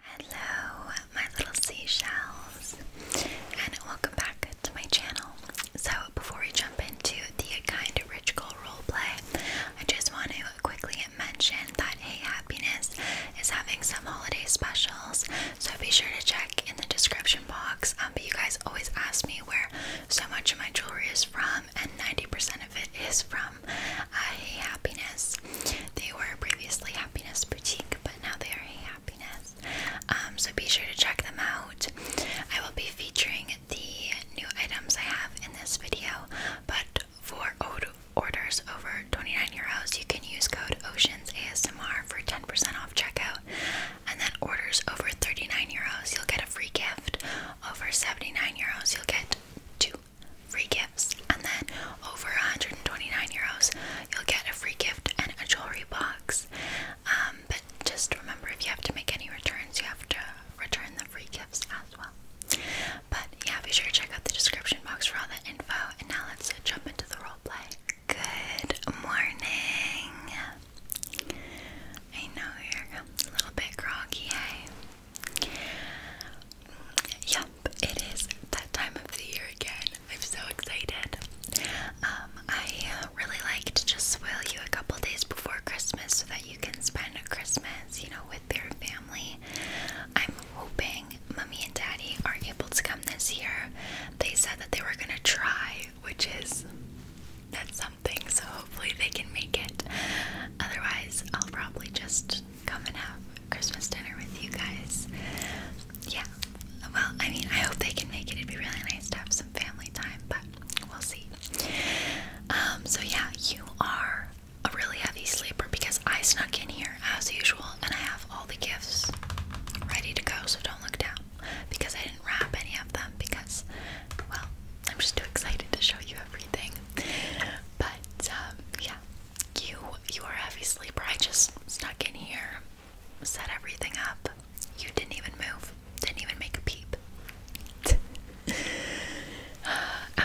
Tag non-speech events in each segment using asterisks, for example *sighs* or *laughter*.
Hello, my little seashells, and welcome back to my channel. So, before we jump into the Kind of Rich Girl roleplay, I just want to quickly mention that Hey Happiness is having some holiday specials, so be sure to check in the description box. Um, but you guys always ask me where so much of my jewelry is from, and 90% of it is from uh, Hey Happiness they were previously Happiness Boutique, but now they are Happiness. Um, so be sure to check them out. I will be featuring the new items I have in this video, but for orders over 29 euros, you can use code Oceans ASMR for 10% off checkout, and then orders over 39 euros, you'll get a free gift. Over 79 euros, you'll get two free gifts, and then over 129 euros, you'll get a free gift and a jewelry box. Um, but just remember, if you have to make any returns, you have to return the free gifts as well. But yeah, be sure to check out the description box for all that info. And now let's jump into the role play. Good morning. I know you're a little bit groggy, Yep, it is that time of the year again. I'm so excited. Um, I really like to just spoil you a couple days before Christmas so that you can spend Christmas, you know, with your family. I'm hoping mommy and daddy are able to come this year. They said that they were gonna try, which is that's something, so hopefully they can make it. Otherwise, I'll probably just come and have Christmas dinner with you guys. Yeah. Well, I mean, I hope they can make it. It'd be really nice to have some family time, but we'll see. Um, so yeah, you are a really heavy sleeper because I snuck in here as usual and I have all the gifts ready to go, so don't look down because I didn't wrap any of them because, well, I'm just too excited to show you everything. But um, yeah, you you are a heavy sleeper. I just snuck in here, set everything up. You didn't even move. Didn't even make a peep. *laughs*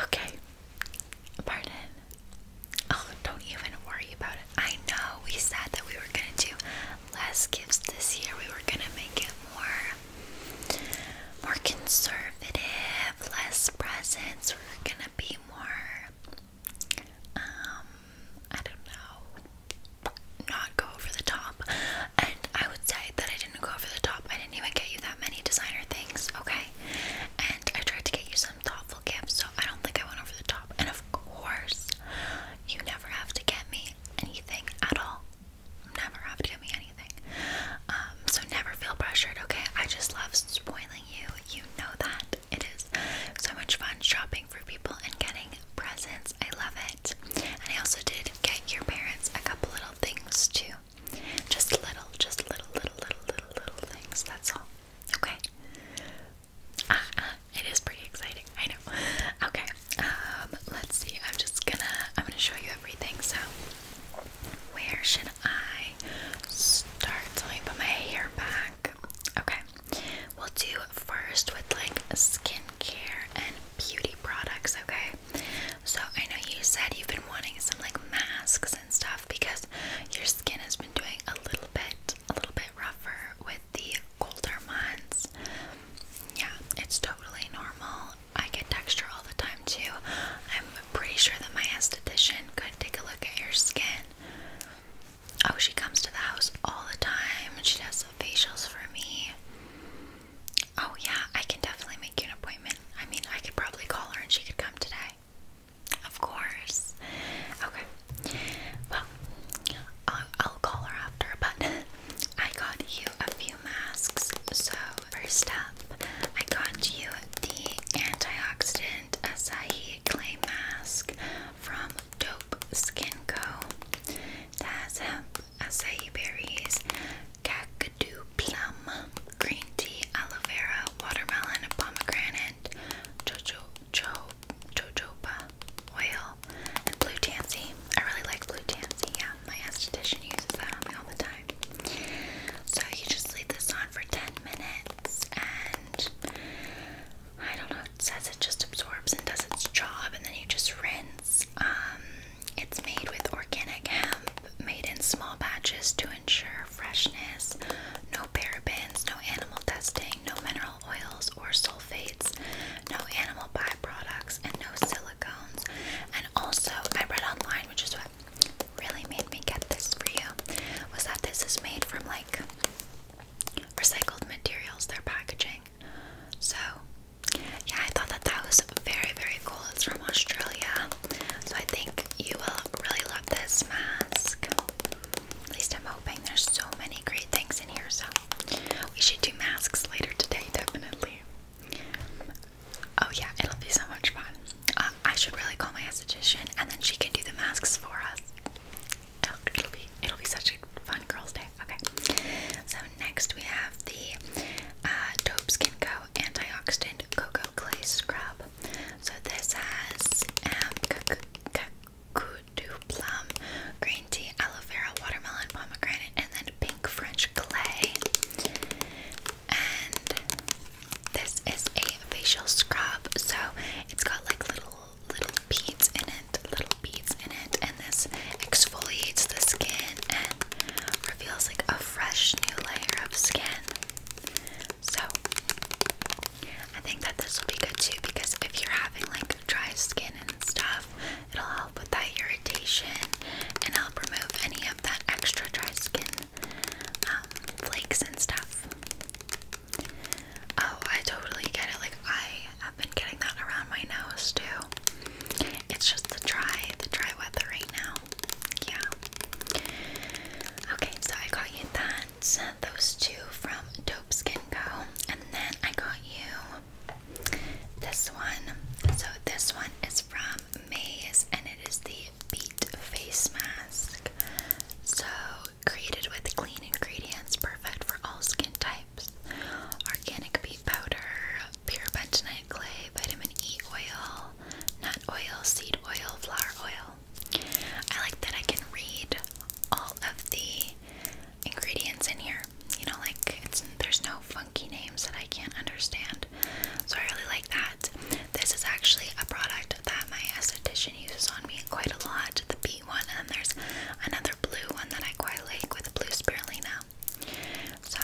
okay. Pardon. Oh, don't even worry about it. I know we said that we were gonna do less gifts this year. We were gonna make it more more conservative, less presents. We were gonna be more um, I don't know, not go over the top. And I would say that I didn't go over the top. I didn't even get you that many designer things, okay? And I tried to get you some thoughtful gifts, so I don't think I went over the top. And of course, you never have to get me anything at all. Never have to get me anything. Um, so never feel pressured, okay? I just love spoiling you. You know that. It is so much fun shopping for people and getting presents. I love it. And I also did get your parents a couple little things too. Just little, just little, little, little, little, little things. That's all. Okay. Uh, it is pretty exciting. I know. Okay. Um, let's see. I'm just gonna. I'm gonna show you everything. So, where should I start? Let me put my hair back. Okay, we'll do first with like skincare and beauty products. Okay, so I know you said you've been wanting some like masks and stuff because your skin has been doing a little bit, a little bit rougher with the colder months. Yeah, it's totally normal. I get texture all the time too. I'm pretty sure that my esthetician could take a look at your skin. Oh, she comes to the house all the time she does the facials for me. Oh, yeah, I can definitely make you an appointment. I mean, I could probably call her and she could come today. Of course. Okay. Well, I'll, call her after, but *laughs* I got you a few masks. So, first up, I got you the antioxidant acai clay mask from Dope Skin Co. That has acai berries, Kakadu plum, green tea, aloe vera, watermelon, pomegranate, jojoba oil, and blue tansy. I really like blue tansy. Yeah, my esthetician uses that on me all the time. So you just leave this on for 10 minutes and I don't know, it says it just absorbs and does its job and then you just rinse. Um, it's made with organic hemp, made in small batches to ensure freshness, no parabens, no animal testing, no mineral oils or sulfates, no animal byproducts, and no silicones. And also, I read online, which is what really made me get this for you, was that this is made from like recycled materials, their packaging. So, yeah, I thought that that was very, very cool. It's from Australia, so I think you will really love this mask. At least I'm hoping. There's so many great things in here, so we should do masks later today, definitely. Oh yeah, it'll be so much fun. Uh, I should really call my esthetician, and then she can do the masks for us. Oh, it'll be it'll be such a fun girls' day. Okay. So next we have the uh, Dope Skin Co. Antioxidant Cocoa Clay Scrub. So this has um, kakudu plum, green tea, aloe vera, watermelon, pomegranate, and then pink French clay. And this is a facial scrub, so it's got like little little beads in it, little beads in it, and this exfoliates the skin and reveals like a fresh new layer of skin. So I think that this will be good too because if you're having like dry skin and stuff, it'll help with that irritation and help remove any of that extra dry skin um, flakes and stuff. Oh, I totally get it. Like I have been getting that around my nose too. It's just the dry, the dry weather right now. Yeah. Okay, so I got you that. Those two from Dope Skin Co. And then I got you this one. So this one is from Maze and it is the Beat Face Mask. So created with clean ingredients, perfect for all skin types. Organic beet powder, pure bentonite clay, vitamin E oil, nut oil, seed oil, flower oil. I like that I can read all of the ingredients in here. You know, like it's there's no funky names that I can't understand. So I really like that. This is actually a product that my esthetician uses on me quite a lot, the beet one, and there's another blue one that I quite like with blue spirulina. So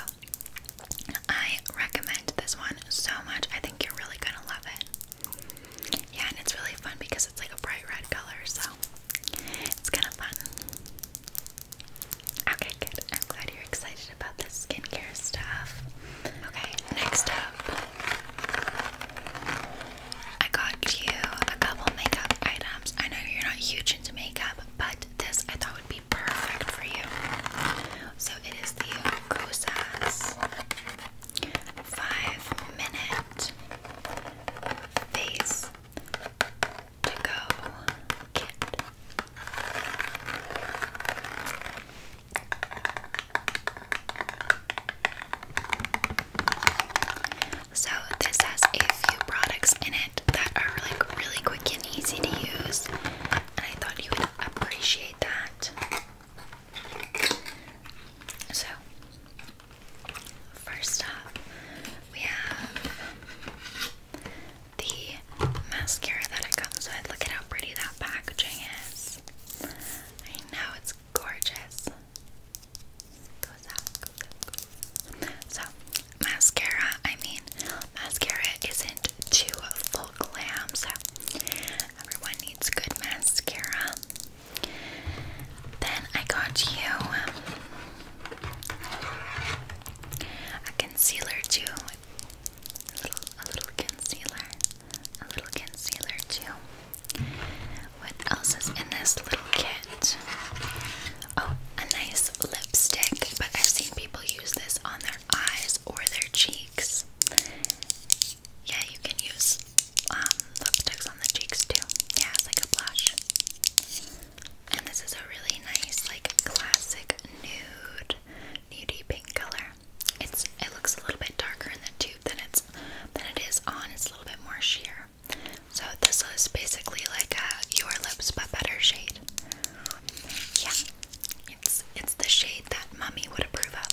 I recommend this one so much. I think you're really gonna love it. Yeah, and it's really fun because it's like a bright red color, so it's kind of fun. Okay, good. I'm glad you're excited about this skincare stuff. Okay, next up I got you a couple makeup items. I know you're not huge into makeup, but this I thought would be perfect for you. So it is the Kosas 5 Minute Face To Go Kit. So this has a few products in it that are like really quick and easy to use, and I thought you would appreciate that. So first up, we have the mascara that it comes with. Look at how pretty that packaging is. I know it's gorgeous. So, mascara, I mean, mascara isn't too full glam, so everyone needs good mascara. Then I got you a concealer too. a little concealer. A little concealer too. What else is in this little kit? Oh, a nice lipstick, but I've seen people use this on their eyes or their cheeks. Yeah, you can use um, lipsticks on the cheeks too. Yeah, it's like a blush. And this is a really nice, like classic nude, nudie pink color. It's it looks a little bit darker in the tube than it's than it is on. It's a little bit more sheer. So this is basically like Your Lips but Better shade. Yeah, it's it's the shade that Mummy would approve of.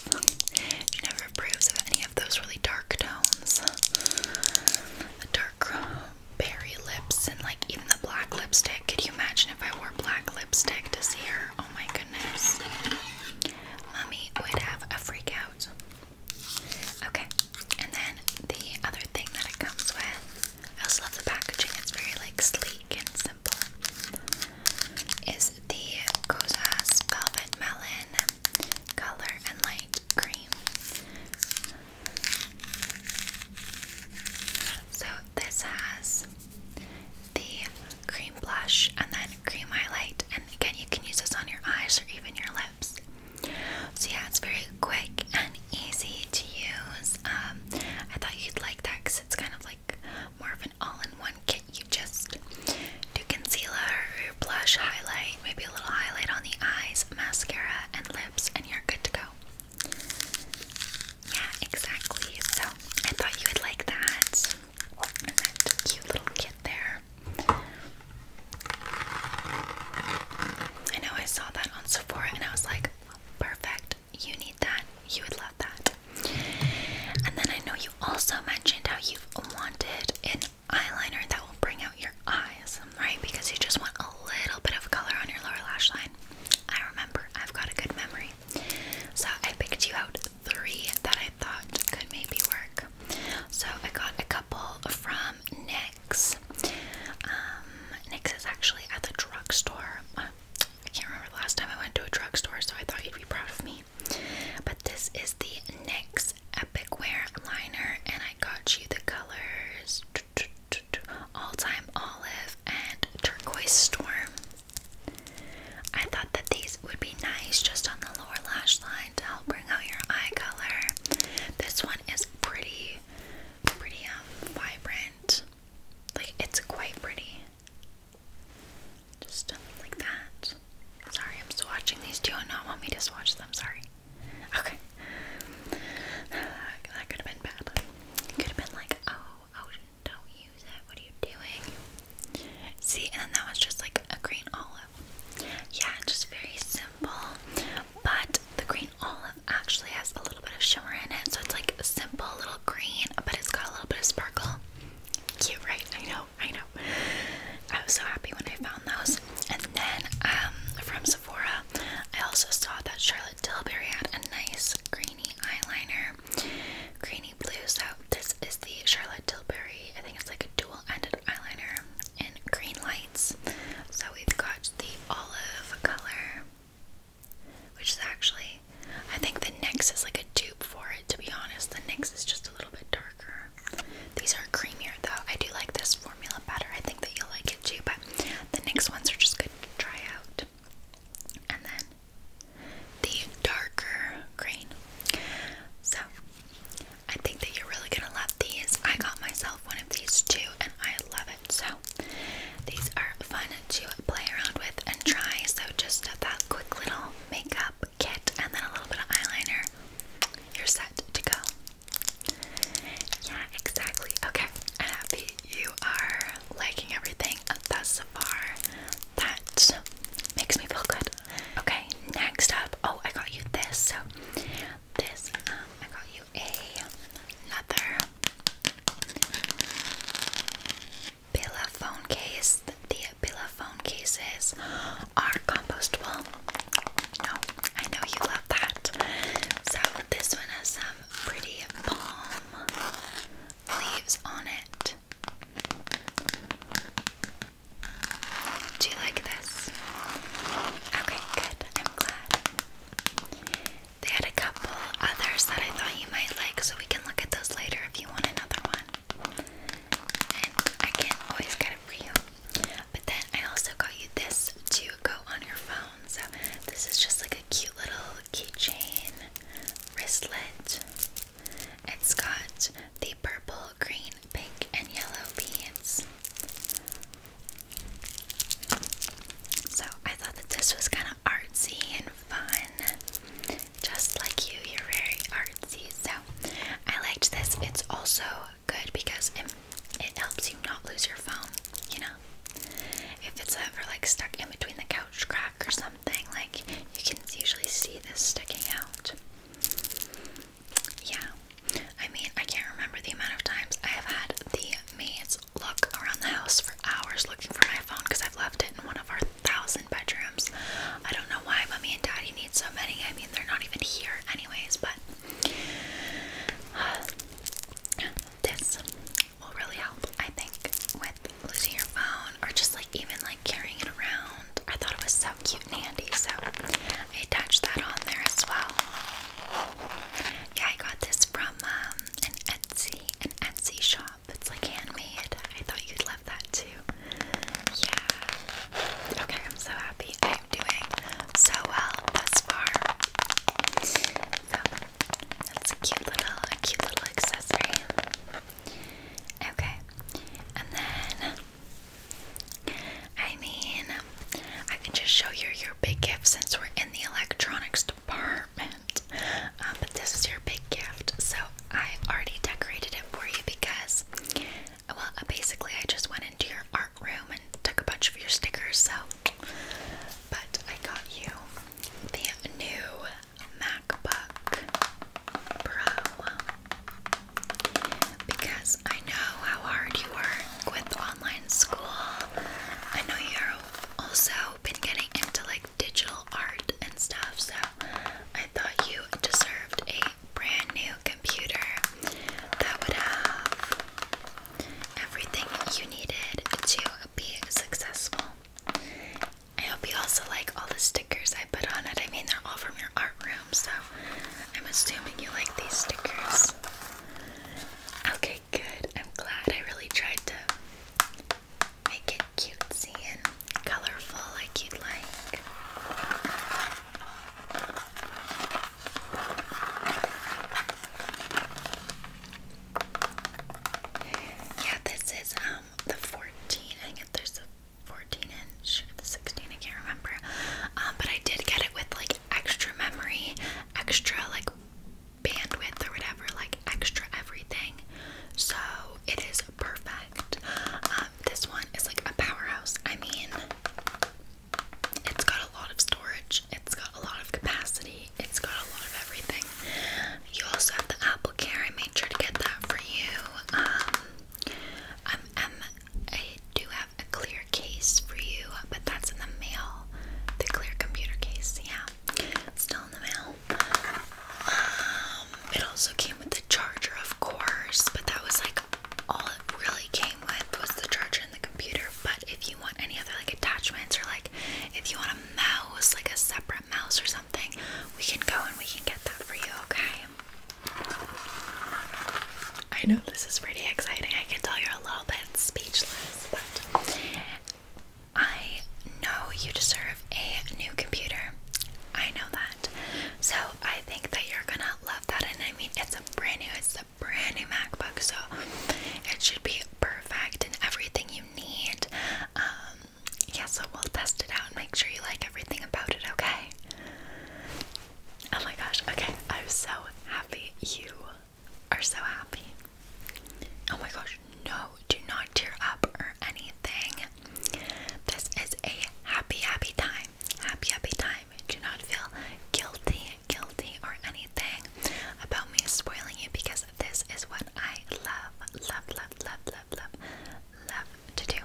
She never approves of any of those really dark tones. The dark berry lips and like even the black lipstick. Could you imagine if I wore black lipstick to see her? Oh my goodness. Mummy would have a freak Okay, and then the other thing that it comes with, I also love the packaging, it's very like sleek and simple, is the Kozas Velvet Melon Color and Light Cream. So this has the cream blush and then cream highlight again you can use this on your eyes or even your lips so yeah it's very quick and easy to use um, I thought you'd like that because it's kind of like more of an all-in-one kit you just do concealer blush highlight maybe a little highlight on the eyes mascara and lips and you're good to go yeah, exactly. So I thought you would like that that cute little kit there. I know I saw that on Sephora and I was like, perfect. You need that. You would love that. And then I know you also mentioned how you've wanted an eyeliner that will bring out your eyes, right? Because you just want a little bit of color on your lower lash line. I remember. I've got a good memory. So I picked you out three that I thought could maybe work. So I got a couple from NYX. Um, is actually at the drugstore. Uh, I can't remember the last time I went to a drugstore, so I thought you'd be proud of me. But this is the NYX Epic Wear Liner, and I got you the colors All Time Olive and Turquoise Storm. I thought that these would be nice just on the lower lash line to help bring out your eye color. This one is pretty, pretty um, vibrant. Like it's quite pretty. Just um, like that. Sorry, I'm swatching these two and not want me to swatch them. Sorry. Okay. *sighs* That could have been bad. could have been like, oh, oh, don't use it. What are you doing? See, and that was just like a green olive. Yeah, just very simple. But the green olive actually has a little bit of shimmer in it, so it's like a simple little green, but it's got a little bit of sparkle. Cute, right? I know, I know. I was so happy when I found those. And then um, from Sephora, I also saw that Charlotte Tilbury had a nice greeny eyeliner, greeny blue. So this is the Charlotte Tilbury. I think it's like a dual-ended eyeliner in green lights. So we've got the olive color, which is actually, I think the NYX is like a dupe for it, to be honest. The NYX is just a little bit darker. These are creamier though. I do like this formula better. I think that you'll like it too, but the NYX ones are just good to try out. And then the darker green. So I think that you're really gonna love these. I got myself one of these too, and I love it. So, these are fun to play around with and try. So, just that quick little makeup kit and then a little bit of eyeliner, you're set to go. Yeah, exactly. Okay, I'm happy you are liking everything thus far. That makes me feel good. Okay, next up, oh, I got you this. So, this, um, I got you a leather phone case. The Billa phone cases are compostable. No, I know you love that. So, this one has some pretty palm leaves on it. Do you like this? Okay, good. I'm glad. They had a couple others that I thought you might like, so we can look at those later if you want another one. And I can always get it for you. But then I also got you this to go on your phone. So this is just like a cute little keychain wristlet. It's got the purple green, pink, and yellow beads. So I thought that this was kind of artsy and fun. Just like you, you're very artsy. So I liked this. It's also good because it, it helps you not lose your phone, you know? If it's ever like stuck in between the couch crack or something, like you can usually see this sticking out yeah, I mean, I can't remember the amount of times I have had the maids look around the house for hours looking for my phone because I've left it in one of our thousand bedrooms. I don't know why mommy and daddy need so many. I mean, they're not even here, anyways, but *sighs* this will really help, I think, with losing your phone or just like even like carrying it around. I thought it was so cute and handy, so I attached that on there as well. Yeah, I got this from um, an Etsy, an Etsy shop. It's like handmade. I thought you'd love that too. Yeah. Okay, I'm so happy. I am doing so well thus far. So that's a cute little, a cute little accessory. Okay, and then I mean, I can just show you your big gift since we're in the electronics department. Um, but this is your big gift, so I already decorated it for you because, well, uh, basically, I just went into your art room and took a bunch of your stickers. So, but I got you the new MacBook Pro. Because I know how hard you work with online school. I know you've also been getting into like digital art and stuff, so I thought you deserved a brand new computer that would have everything you needed to be successful. I hope you also like all the stickers I put on it. I mean, they're all from your art room, so I'm assuming you like these stickers. Okay, good. I'm glad I really tried to make it cutesy and colorful like you'd like. Yeah, this is um the 14. I think there's a 14 16, I can't remember. Um, but I did get it with like extra memory, extra like bandwidth or whatever, like extra everything. So it is perfect. Um, this one is like a powerhouse. I mean, it's got a lot of storage, it's got a lot of capacity, it's got a lot of everything. You also have the Apple Care. I made sure to get that for you. Um, I'm, um, i a clear case for you, but that's in the mail. The clear computer case, yeah. Still in the mail. Um, it also came with the charger, of course, but that was like all it really came with was the charger and the computer. But if you want any other like attachments or like if you want a mouse, like a separate mouse or something, we can go and we can get that for you, okay? I know this is pretty exciting. I can tell you're a little bit speechless, but I know you deserve a new computer. I know that. So I think that you're gonna love that. And I mean, it's a brand new, it's a brand new MacBook, so it should be perfect and everything you need. Um, yeah, so we'll test it out and make sure you like everything about it, okay? Oh my gosh, okay, I'm so happy you are so happy. Oh my gosh, no, do not tear up or anything. This is a happy, happy time. Happy, happy time. Do not feel guilty, guilty, or anything about me spoiling you because this is what I love, love, love, love, love, love, love to do.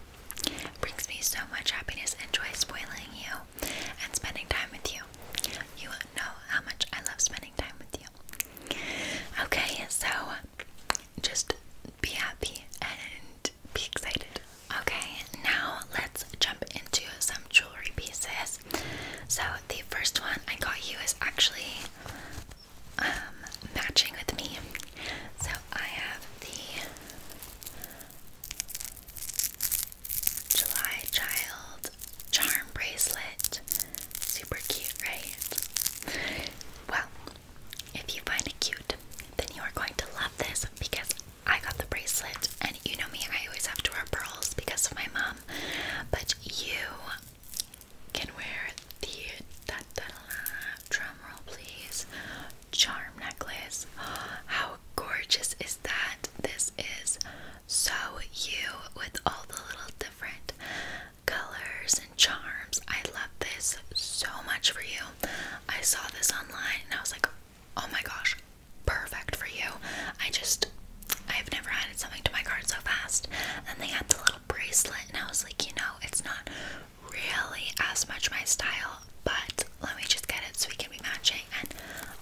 It brings me so much happiness and joy spoiling you and spending time with you. You know how much I love spending time with you. Okay, so just be happy and be excited. Okay, now let's jump into some jewelry pieces. So, the first one I got you is actually um, matching with me. So, I have the July Child Charm Bracelet. Super cute, right? Well, if you find it cute, then you are going to love this because I got the bracelet, and you know me, I always have to wear pearls because of my mom. But you can wear the da, da, da, drum roll, please. Charm necklace. How gorgeous is that? This is so you with all the little different colors and charms. I love this so much for you. I saw this online and I was like, oh my gosh, perfect for you. I just, I've never added something to my cart so fast. And they had the little bracelet, and I was like, you know, it's not really as much my style, but let me just get it so we can be matching and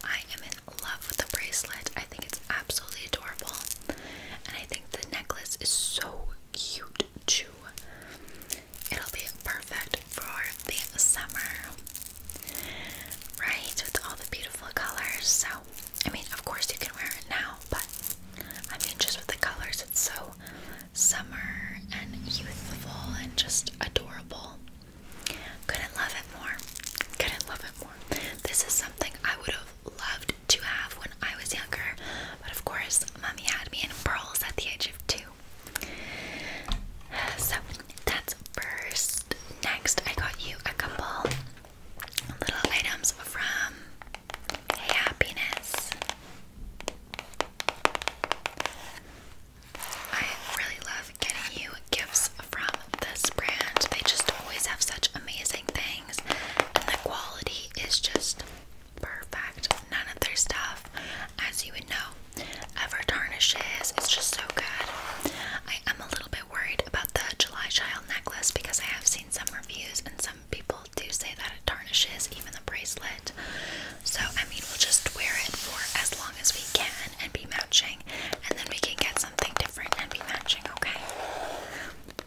I am in love with the bracelet. I think it's absolutely adorable, and I think the necklace is so cute too. It'll be perfect for the summer, right? With all the beautiful colors. So, I mean, of course, you can wear it now, but I mean, just with the colors, it's so summer and youthful and just adorable. Couldn't love it more. Couldn't love it more. This is something I would have loved to have when I was younger, but of course, mommy had me in pearls at the age of two. So that's first. Next, I got you a couple little items from Happiness. I really love getting you gifts from this brand. They just always have such amazing things, and the quality is just perfect. None of their stuff, as you would know, ever tarnishes. It's just so good. I am a little bit worried about the July Child necklace because I have seen some reviews and some people do say that it tarnishes, even the bracelet. So, I mean, we'll just wear it for as long as we can and be matching, and then we can get something different and be matching, okay?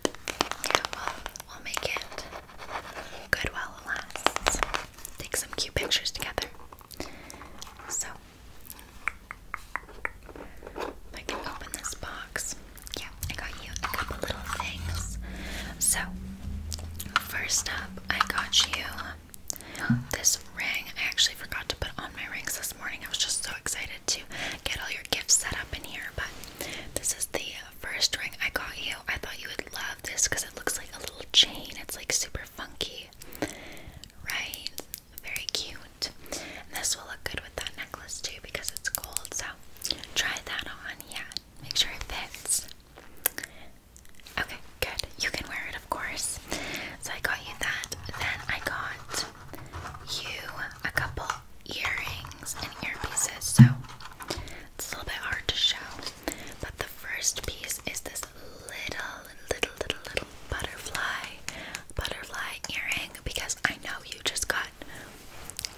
Yeah, well, we'll make it good while it lasts. Take some cute pictures together. So, I can open this box, yeah, I got you a couple little things. So, first up, I got you this ring, I actually forgot to put on my rings this morning. I was just so excited to get all your gifts set up in here, but this is the first ring I got you. I thought you would love this because it looks like a little chain. It's like super funky, right? Very cute. And this will look good with that necklace too because it's gold. So try that on, yeah. Make sure it fits. Okay, good. You can wear it, of course. So I got you that. Then I got you a couple earrings and earpieces. So it's a little bit hard to show. But the first piece is this little, little, little, little butterfly, butterfly earring because I know you just got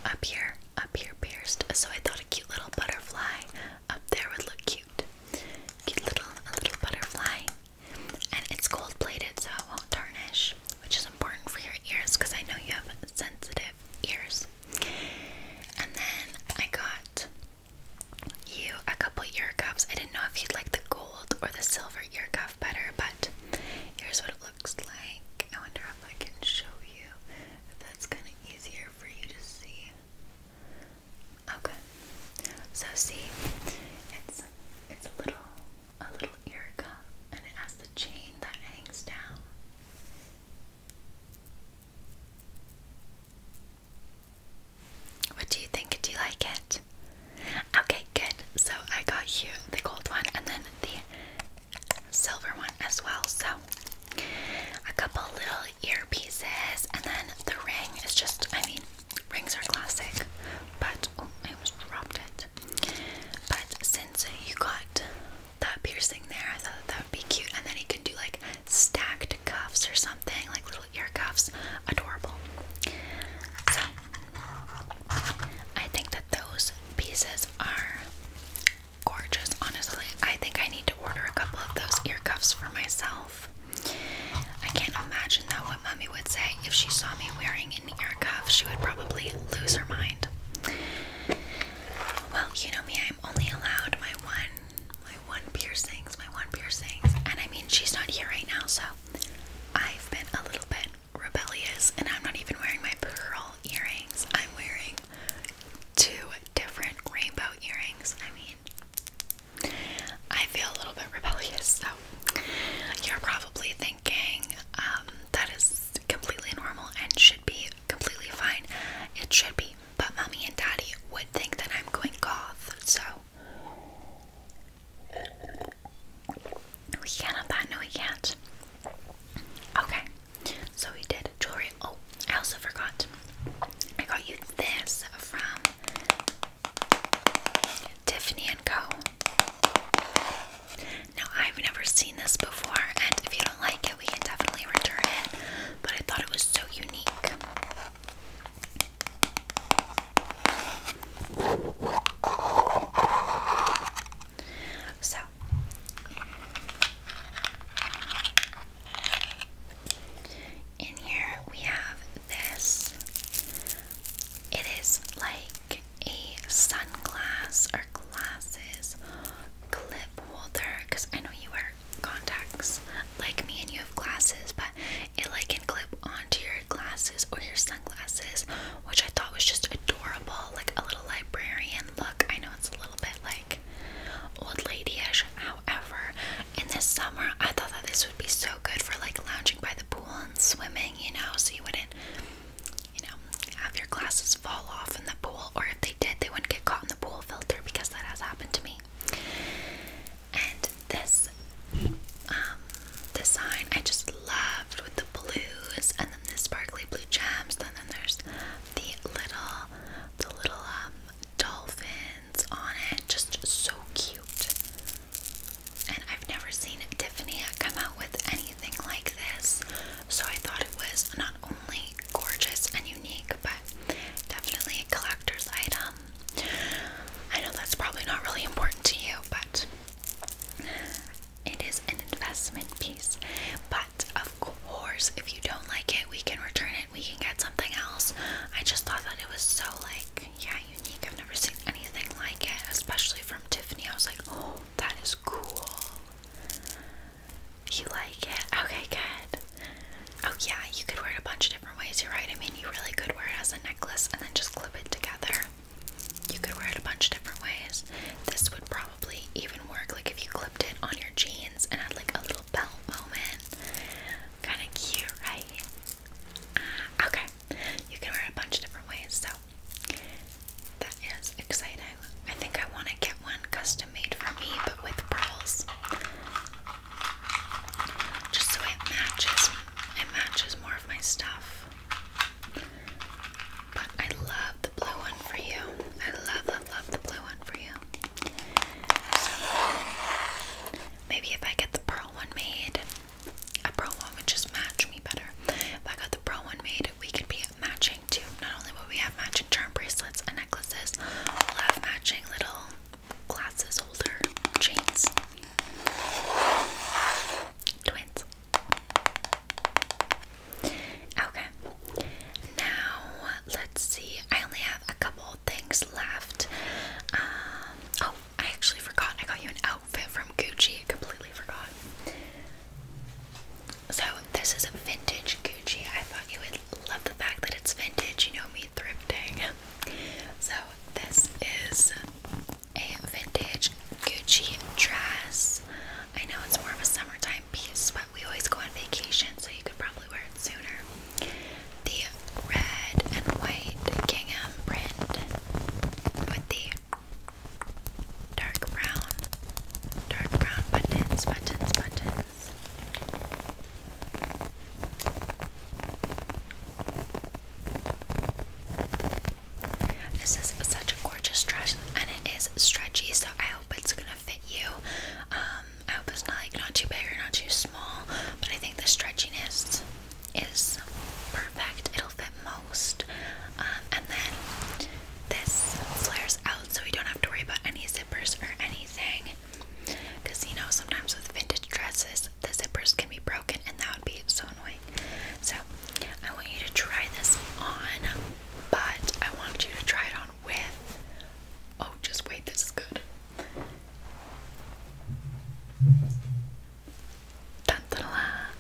up here, up here pierced. So I thought a cute little butterfly up there would look cute. Cute little, little butterfly and it's gold plated so it won't tarnish, which is important for your ears because I know you have sensitive ears. And then I got you a couple ear cuffs. I didn't know if you'd like the gold or the silver ear cuff better, but here's what it looks like. I wonder if I can show you if that's kind of easier for you to see. Okay. So see, it's it's a little a little erica, and it has the chain that hangs down. What do you think? Do you like it? Okay, good. So I got you the gold one and then the silver one as well. So a couple little earpieces and then the ring is just I mean Rings are classic, but oh, I almost dropped it. But since you got that piercing there, I thought that would be cute. And then you can do like stacked cuffs or something, like little ear cuffs. Adorable. So I think that those pieces are gorgeous. Honestly, I think I need to order a couple of those ear cuffs for myself. I can't imagine that what Mummy would say if she saw me wearing an ear cuff. She would probably lose her mind. Well, you know me, I'm only allowed my one my one piercings, my one piercings. And I mean she's not here right now, so I've been a little bit rebellious and I'm not even wearing my pearl earrings. I'm wearing two different rainbow earrings. I mean I feel a little bit rebellious, so you're probably thinking um, that is completely normal and should be completely fine. It should be, but mommy and daddy would think that I'm going goth, so we can't have that. No, we can't. Okay, so we did jewelry. Oh, I also forgot. I got you this from Tiffany and Co. Now I've never seen this before, and if you don't like it, we can definitely return it. But I thought it was so unique. So in here we have this it is like a sunglasses or glasses clip holder because I know you wear contacts like me and you have glasses, but it like can clip onto your glasses or your sunglasses, which I thought was just adorable, like a little librarian look. I know it's a little bit like old lady however. In this summer, I thought that this would be so good for like lounging by the pool and swimming, you know, so you wouldn't, you know, have your glasses fall off in the pool, or if they did, they wouldn't get caught in the pool filter because that has happened to me. And this um, design I just loved with the blues, and then the sparkly blue gems. And then there's the little, the little um, dolphins on it. Just so cute and I've never seen Tiffany come out with anything like this. So I thought it was not only gorgeous and unique, but definitely a collector's item. I know that's probably not really important to you, but it is an investment piece. But of course, if you don't like it, we can return it, we can get something else. I just thought that it was so like, yeah, unique. I've never seen anything like it, especially from Tiffany. I was like, oh, that is cool. You like it? Okay, good. Oh, yeah, you could wear it a bunch of different ways. You're right. I mean, you really could wear it as a necklace and then just clip it together. You could wear it a bunch of different ways. This would probably even work like if you clipped it on your jeans and had like a little belt moment. Kind of cute, right? okay, you can wear it a bunch of different ways, so that is exciting. I think I want to get one custom made for me, but with pearls, just so it matches. It matches more of my stuff. But I love the blue one for you. I love, love, love the blue one for you. maybe if I get the pearl one made, a pro one would just match me better. If I got the pro one made, we could be matching too. Not only will we have matching charm bracelets and necklaces, we'll have matching little glasses holder chains. Twins. Okay. Now let's see. I only have a couple things left. Um, oh, I actually forgot I got you an outfit from Gucci. I completely forgot. So this is a vintage Gucci. I thought you would love the fact that it's vintage. You know me thrifting. *laughs* So this is a vintage Gucci dress. I know it's more of a summertime piece, but we always go on vacation, so you could probably wear it sooner the red and white gingham print with the dark brown, dark brown buttons, buttons, buttons. This is such a gorgeous dress, and it is stretchy, so I hope it's gonna fit you. Um, I hope it's not like not too big or not too small, but I think the stretchiness is perfect. It'll fit most. Um, and then this flares out so we don't have to worry about any zippers or anything. Because you know, sometimes with vintage dresses, the zippers can be broken and that would be so annoying. So, I want you to try this on, but I want you to try it on with. Oh, just wait, this is good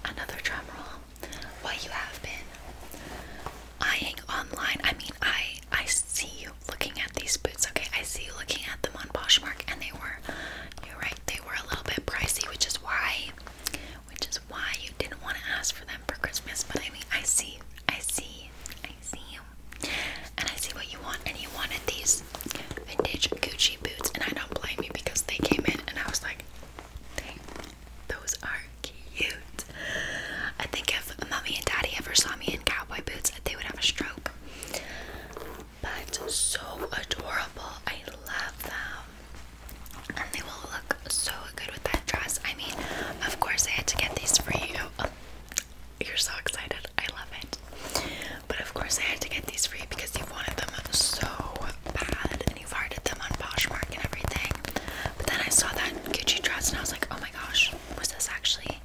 another drum roll. What you have been eyeing online. I mean, I I see you looking at these boots. Okay, I see you looking at them on Poshmark, and they were. You're right. They were a little bit pricey, which is why, which is why you didn't want to ask for them for Christmas. But I mean, I see, I see, I see you, and I see what you want. And you wanted these vintage Gucci boots, and I don't blame you because they came in and I was like, dang, those are cute. I think if mommy and daddy ever saw me in cowboy boots, they would have a stroke. But so adorable. I love them. And they will look so good with that dress. I mean, of course I had to get these for you. you're so excited. I love it. But of course, I had to get these for you because you wanted them so bad and you've hearted them on Poshmark and everything. But then I saw that Gucci dress and I was like, oh my gosh, was this actually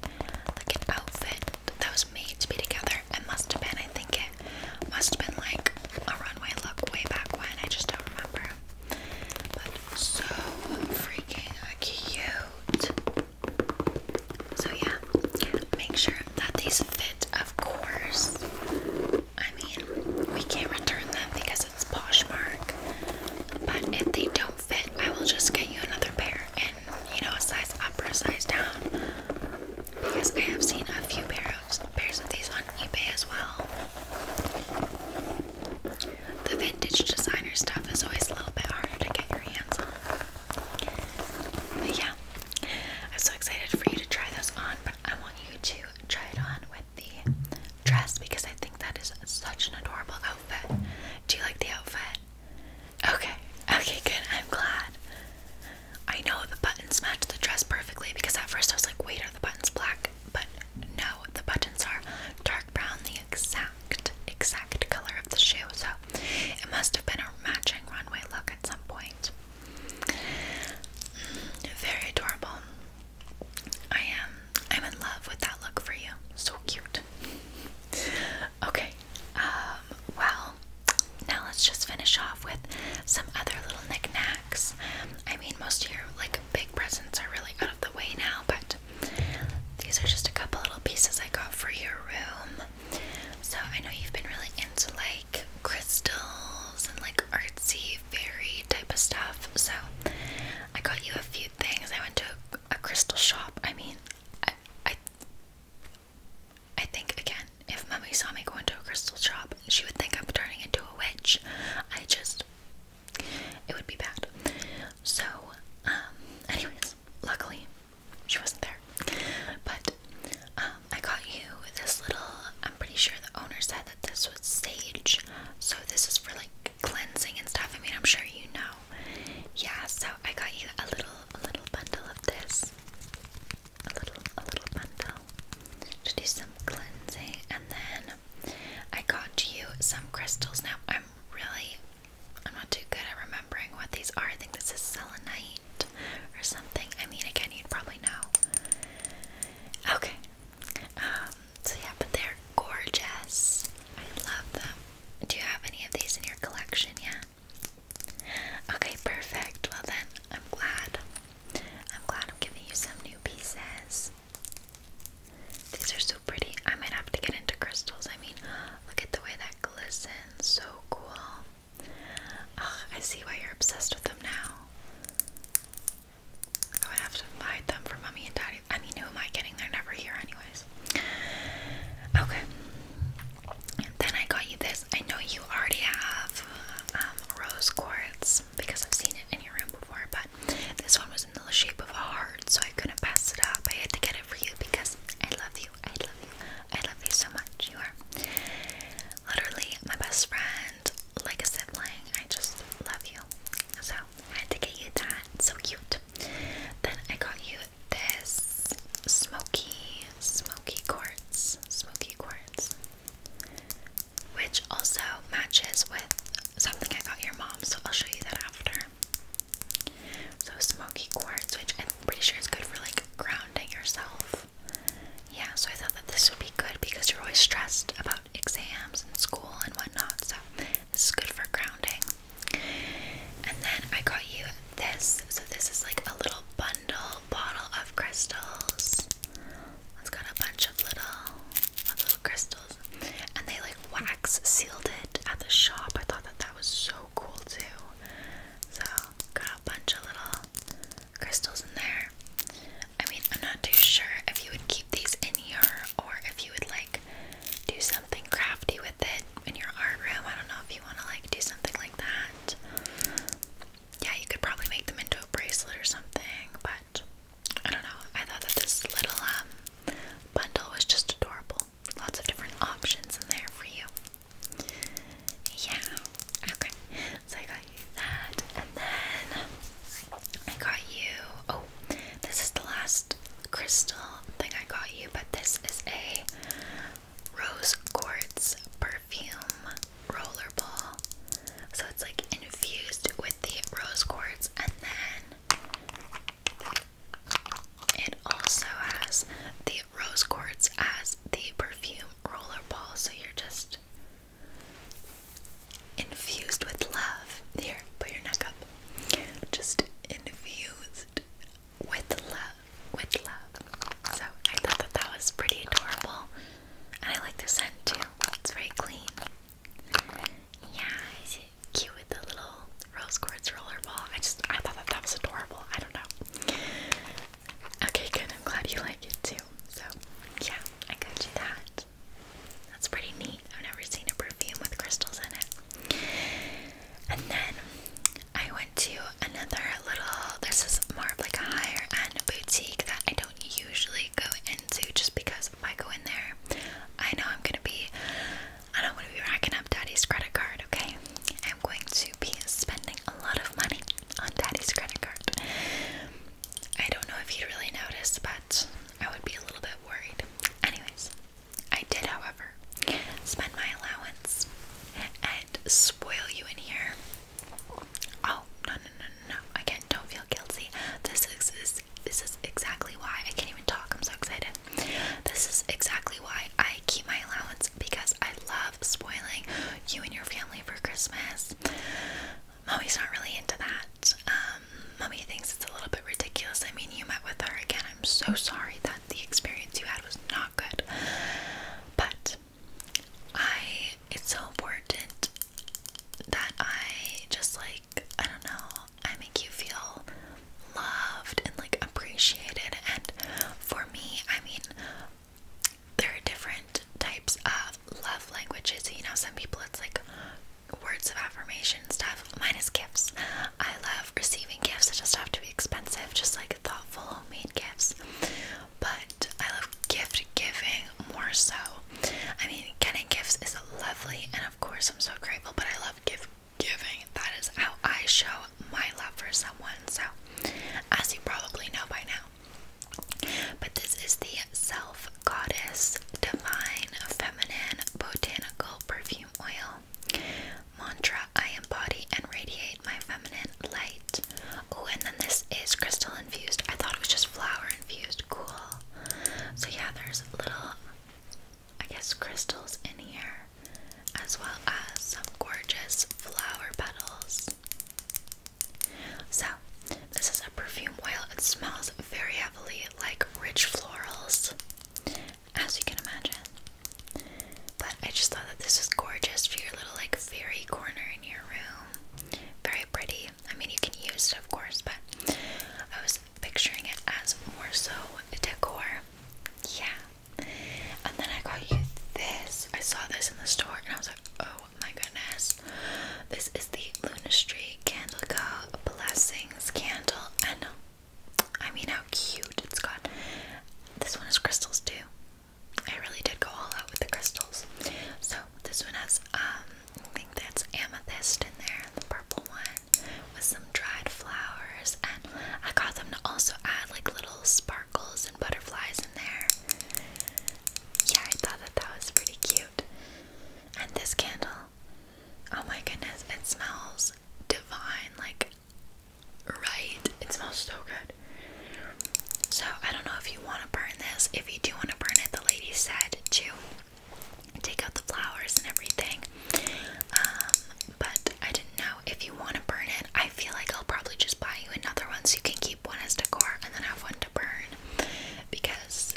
like an outfit that was made to be together? It must have been, I think it must have been like a runway look way back when, I just don't remember. But so freaking cute. So yeah, make sure that these fit, of course. I mean, we can't return them because it's Poshmark. But if they don't fit, I will just get you another pair and, you know, a size up or a size down. Because I have seen a few pair of, pairs of these on eBay as well. The vintage designer stuff is always a little bit harder to get your hands on yeah, I'm so excited for you to try this on, but I want you to try it on with the dress because I think that is such an adorable outfit. Do you like the outfit? Okay, okay, good. I'm glad. I know the buttons match the dress perfectly because at first I was like, wait, are the buttons black? But no, the buttons are dark brown, the exact, exact color of the shoe. So it must have been a matching runway look at some point. Very adorable. I am. I'm in love with that look for you. So cute. Okay. Um, well, now let's just finish off with some other little knickknacks. I mean, most of your like big presents are really out of the way now, but these are just a couple little pieces I got for your room. So I know you've been really into like crystals and like artsy fairy type of stuff. So I got you a few things. I went to a, crystal shop. I mean, I, I think again, if Mummy saw me going to a crystal shop, she would think I'm turning into a witch. I just it would be bad. So, um, anyways, luckily she wasn't there. But um, I got you this little, I'm pretty sure the owner said that this was sage. So this is for like cleansing and stuff. I mean, I'm sure you know. Yeah, so I got you a little, a little bundle of this. A little, a little bundle to do some cleansing. And then I got you some crystals. Now, I'm really, I'm not too good at remembering what these are. I think this is selenite or something. I mean, again, you'd probably know. Okay. Um, so yeah, but they're gorgeous. I love them. Do you have any of these in your collection yet? Okay, perfect. Well then, I'm glad. I'm glad I'm giving you some new pieces. These are so pretty. I might have to get into crystals. I mean, look at the way that glistens. So cool. I see why you're obsessed with them now. I would have to hide them from mommy and daddy. I mean, who am I getting? They're never here, anyways. Okay. Then I got you this. I know you already have um, rose quartz because I've seen it in your room before, but this one was in the shape of a heart, so I couldn't pass it up. I had to get it for you because I love you. I love you. I love you so much. You are literally my best friend, like a sibling. I just love you. So I had to get you that. So cute. Then I got you this smoky, smoky quartz, smoky quartz, which also matches with something I got your mom. So I'll show you that after. So smoky quartz, which I'm pretty sure is good for like grounding yourself. Yeah, so I thought that this would be good because you're always stressed about exams and school and whatnot, so this is good for grounding. And then I got you this. So this is like a little bundle bottle of crystals. It's got a bunch of little little crystals. And they like wax sealed it at the shop. I thought that that was so cool too. So got a bunch of little crystals in there. I mean, I'm not too sure if you would keep these in here or if you would like do something crafty with it in your art room. I don't know if you want to like do something like that. Yeah, you could probably make them into a bracelet or something, but I don't know. I thought that this little um, bundle was just adorable. Lots of different options in there for you. Yeah, okay. So I got you that, and then I got you. Oh, this is the last crystal thing I got you, but this is a rose quartz perfume roller ball. So it's like infused with the rose quartz, and then it also has the rose quartz as the perfume roller ball, so you're just infused with love. Here, put your neck up. Just infused with love, with love. So I thought that that was pretty adorable, and I like the scent too. It's very clean. Yeah, it's cute with the little rose quartz roller ball. I just I thought that that was adorable. I don't know. Okay, good. I'm glad you like it too. So, yeah, I got you that. That's pretty neat. I've never seen a perfume with crystals in it. And then I went to another little, this is more of like a higher end boutique that I don't usually go into just because if I go in there, I know I'm gonna be, I don't wanna be racking up daddy's credit card, okay? I'm going to be spending a lot of money on daddy's credit card. I don't know if he'd really notice, but I would be a little bit worried. Anyways, I did, however, spend my allowance and spoil you in here. Oh, no, no, no, no, no. Again, don't feel guilty. This is, is, this is exactly why I can't even talk. I'm so excited. This is exactly why I keep my allowance because I love love spoiling you and your family for Christmas. Mommy's not really into that. Um, mommy thinks it's a little bit ridiculous. I mean, you met with her again. I'm so sorry that the experience you had was not good. But I, it's so important that I just like, I don't know, I make you feel loved and like appreciated. And for me, I mean, there are different types of love languages. You know, some people it's like words of affirmation stuff. minus gifts. I love receiving gifts. It just have to be expensive, just like thoughtful homemade gifts. But I love gift giving more so. I mean, getting gifts is lovely, and of course, I'm so grateful. But I love gift giving. That is how I show my love for someone. So, as you probably know by now, but this is the Self Goddess Divine Feminine Botanical Perfume Oil. Mantra I embody and radiate my feminine light. Oh, and then this is crystal infused. I thought it was just flower infused. Cool. So, yeah, there's little, I guess, crystals in here, as well as some gorgeous flower petals. So, this is a perfume oil. It smells very heavily like rich florals, as you can imagine. But I just thought that this was gorgeous for your little like fairy corner in your room. Very pretty. I mean, you can use it, of course, but I was picturing it as more so decor. Yeah. And then I got you this. I saw this in the store and I was like, oh, my goodness. This is the Luna Lunastree Candle Co. Blessings Candle. And I mean how cute it's got. This one has crystals too. I really did go all out with the crystals. So this one has um, I think that's amethyst in there, the purple one, with some dried flowers, and I got them to also add like little sparkles and butterflies in there. Yeah, I thought that that was pretty cute. And this candle, oh my goodness, it smells divine, like right? It smells so good. So, I don't know if you want to burn this. If you do want to burn it, the lady said to take out the flowers and everything. Um, but I didn't know if you want to burn it. I feel like I'll probably just buy you another one so you can keep one as decor and then have one to burn because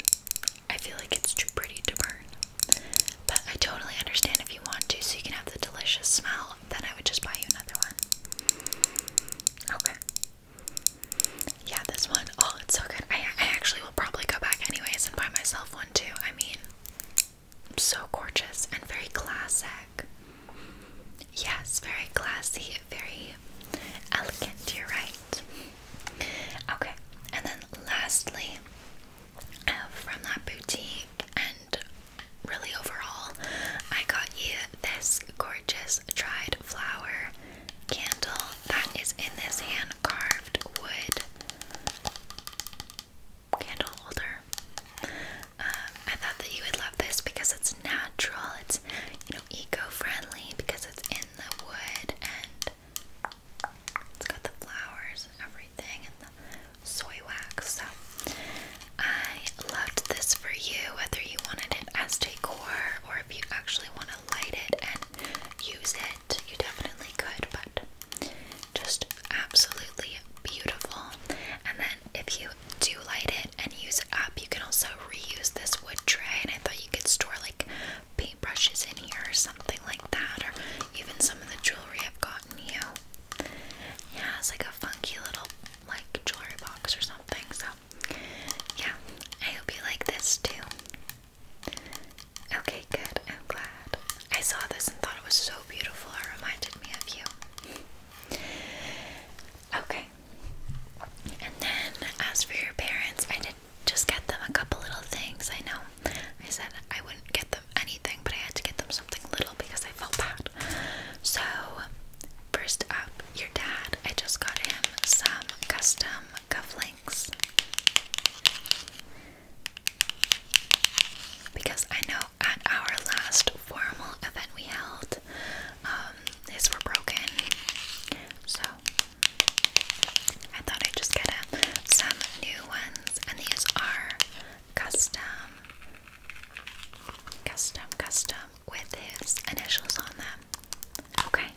I feel like it's too pretty to burn. But I totally understand if you want to, so you can have the delicious smell, then I would just buy you another one. Okay. Yeah, this one, oh, it's so good. I actually will probably go back anyways and buy myself one too. I mean, so gorgeous and very classic. Yes, very classy, very elegant, you're right. Okay, and then lastly, uh, from that boutique and really overall, I got you this gorgeous dried flower candle that is in this hand carved wood candle holder. Um, I thought that you would love this because it's natural, it's you know eco-friendly because it's in the wood and it's got the flowers everything and the soy wax. So I loved this for you, whether you wanted it as decor or if you actually want to light it and use it, you definitely could. But just absolutely beautiful. And then if you do light it and use it up, you can also reuse this wood tray. And I thought you could store like paintbrushes in here or something like that, or even some of the jewelry I've gotten you. Yeah, it's like a funky little like jewelry box or something. So, yeah, I hope you like this too. Okay, good. I'm glad. I saw this and thought it was so beautiful. It reminded me of you. Okay. And then, as for your parents, I did just get them a couple little things. I know I said I wouldn't get them anything, but I had to get them something little because I felt bad. So, first up, your dad. I just got him some custom cufflinks. Because I know at our last formal event we held, but um, were broken. So I thought I'd just get him some new ones, and these are custom, custom, custom with his initials on them. Okay.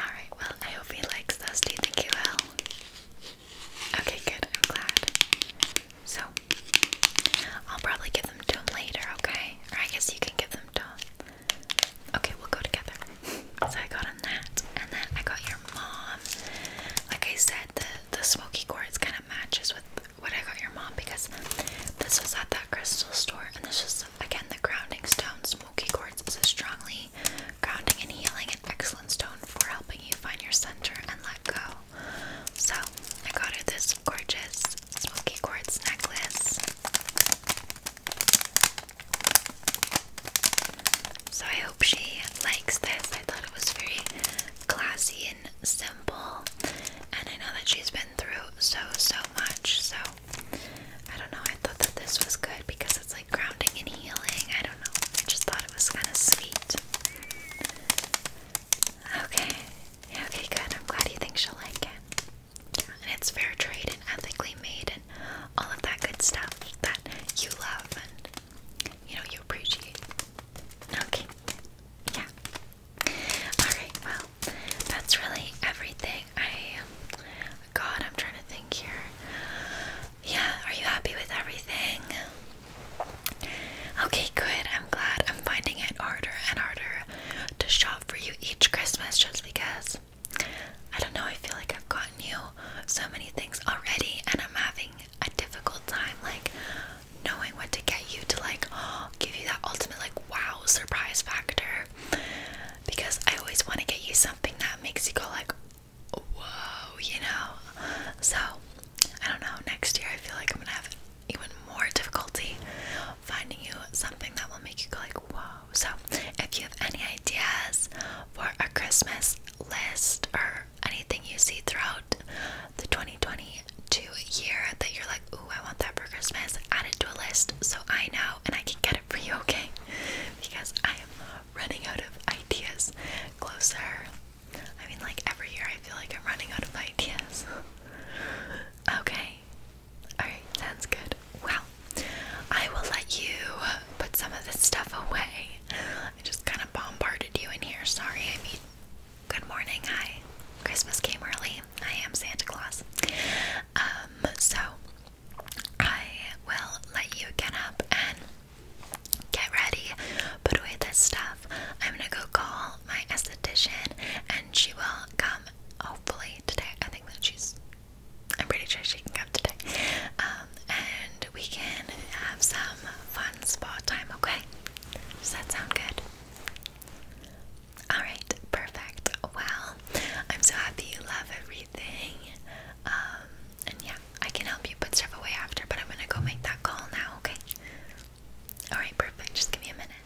Alright, well, I hope he likes those. Do you think he will? Okay, good. I'm glad. So, I'll probably give them to him later, okay? Or I guess you can give them Okay, we'll go together. So I got a nat, and then I got your mom. Like I said, the the smoky quartz kind of matches with what I got your mom because this was at that crystal store, and this is again the grounding stone. Smoky quartz is a strongly grounding and healing and excellent stone for helping you find your center and let go. So I got her this gorgeous smoky quartz necklace. So I hope she likes this. I thought it was very classy and simple. And I know that she's been through so, so much. So I don't know. I thought that this was good because it's like grounding and healing. I don't know. I just thought it was kind of sweet. Okay. Okay, good. I'm glad you think she'll like it and it's fair trade and ethically made and all of that good stuff that you love and you know you appreciate. Okay. Yeah. Alright, well, that's really everything. I God, I'm trying to think here. Yeah, are you happy with everything? Okay, good. I'm glad I'm finding it harder and harder to shop for you each Christmas just because I don't know, I feel like I've gotten you so many things already and I'm having a difficult time like knowing what to get you to like give you that ultimate like wow surprise factor because I always want to get you something that makes you go like whoa you know so I don't know next year I feel like I'm gonna have even more difficulty finding you something that will make you go like whoa. So if you have any ideas for a Christmas list or anything you see throughout the 2022 year that you're like, ooh, I want that for Christmas, add it to a list so I know and I can get it for you, okay? Because I am running out of ideas closer. I mean, like every year I feel like I'm running out of ideas. *laughs* okay, Alright, sounds good. Well, I will let you put some of this stuff away. I just kind of bombarded you in here. Sorry, I mean, good morning. Hi. Christmas came early. I am Santa Claus. Um, so I will let you get up and get ready, put away this stuff. I'm gonna go call my esthetician and she will come hopefully today. I think that she's I'm pretty sure she can come today. Um, and we can have some fun spa time, okay? Does that sound good? Alright, perfect. Well, I'm so happy you love everything. Um, and yeah, I can help you put stuff away after, but I'm gonna go make that call now, okay? Alright, perfect. Just give me a minute.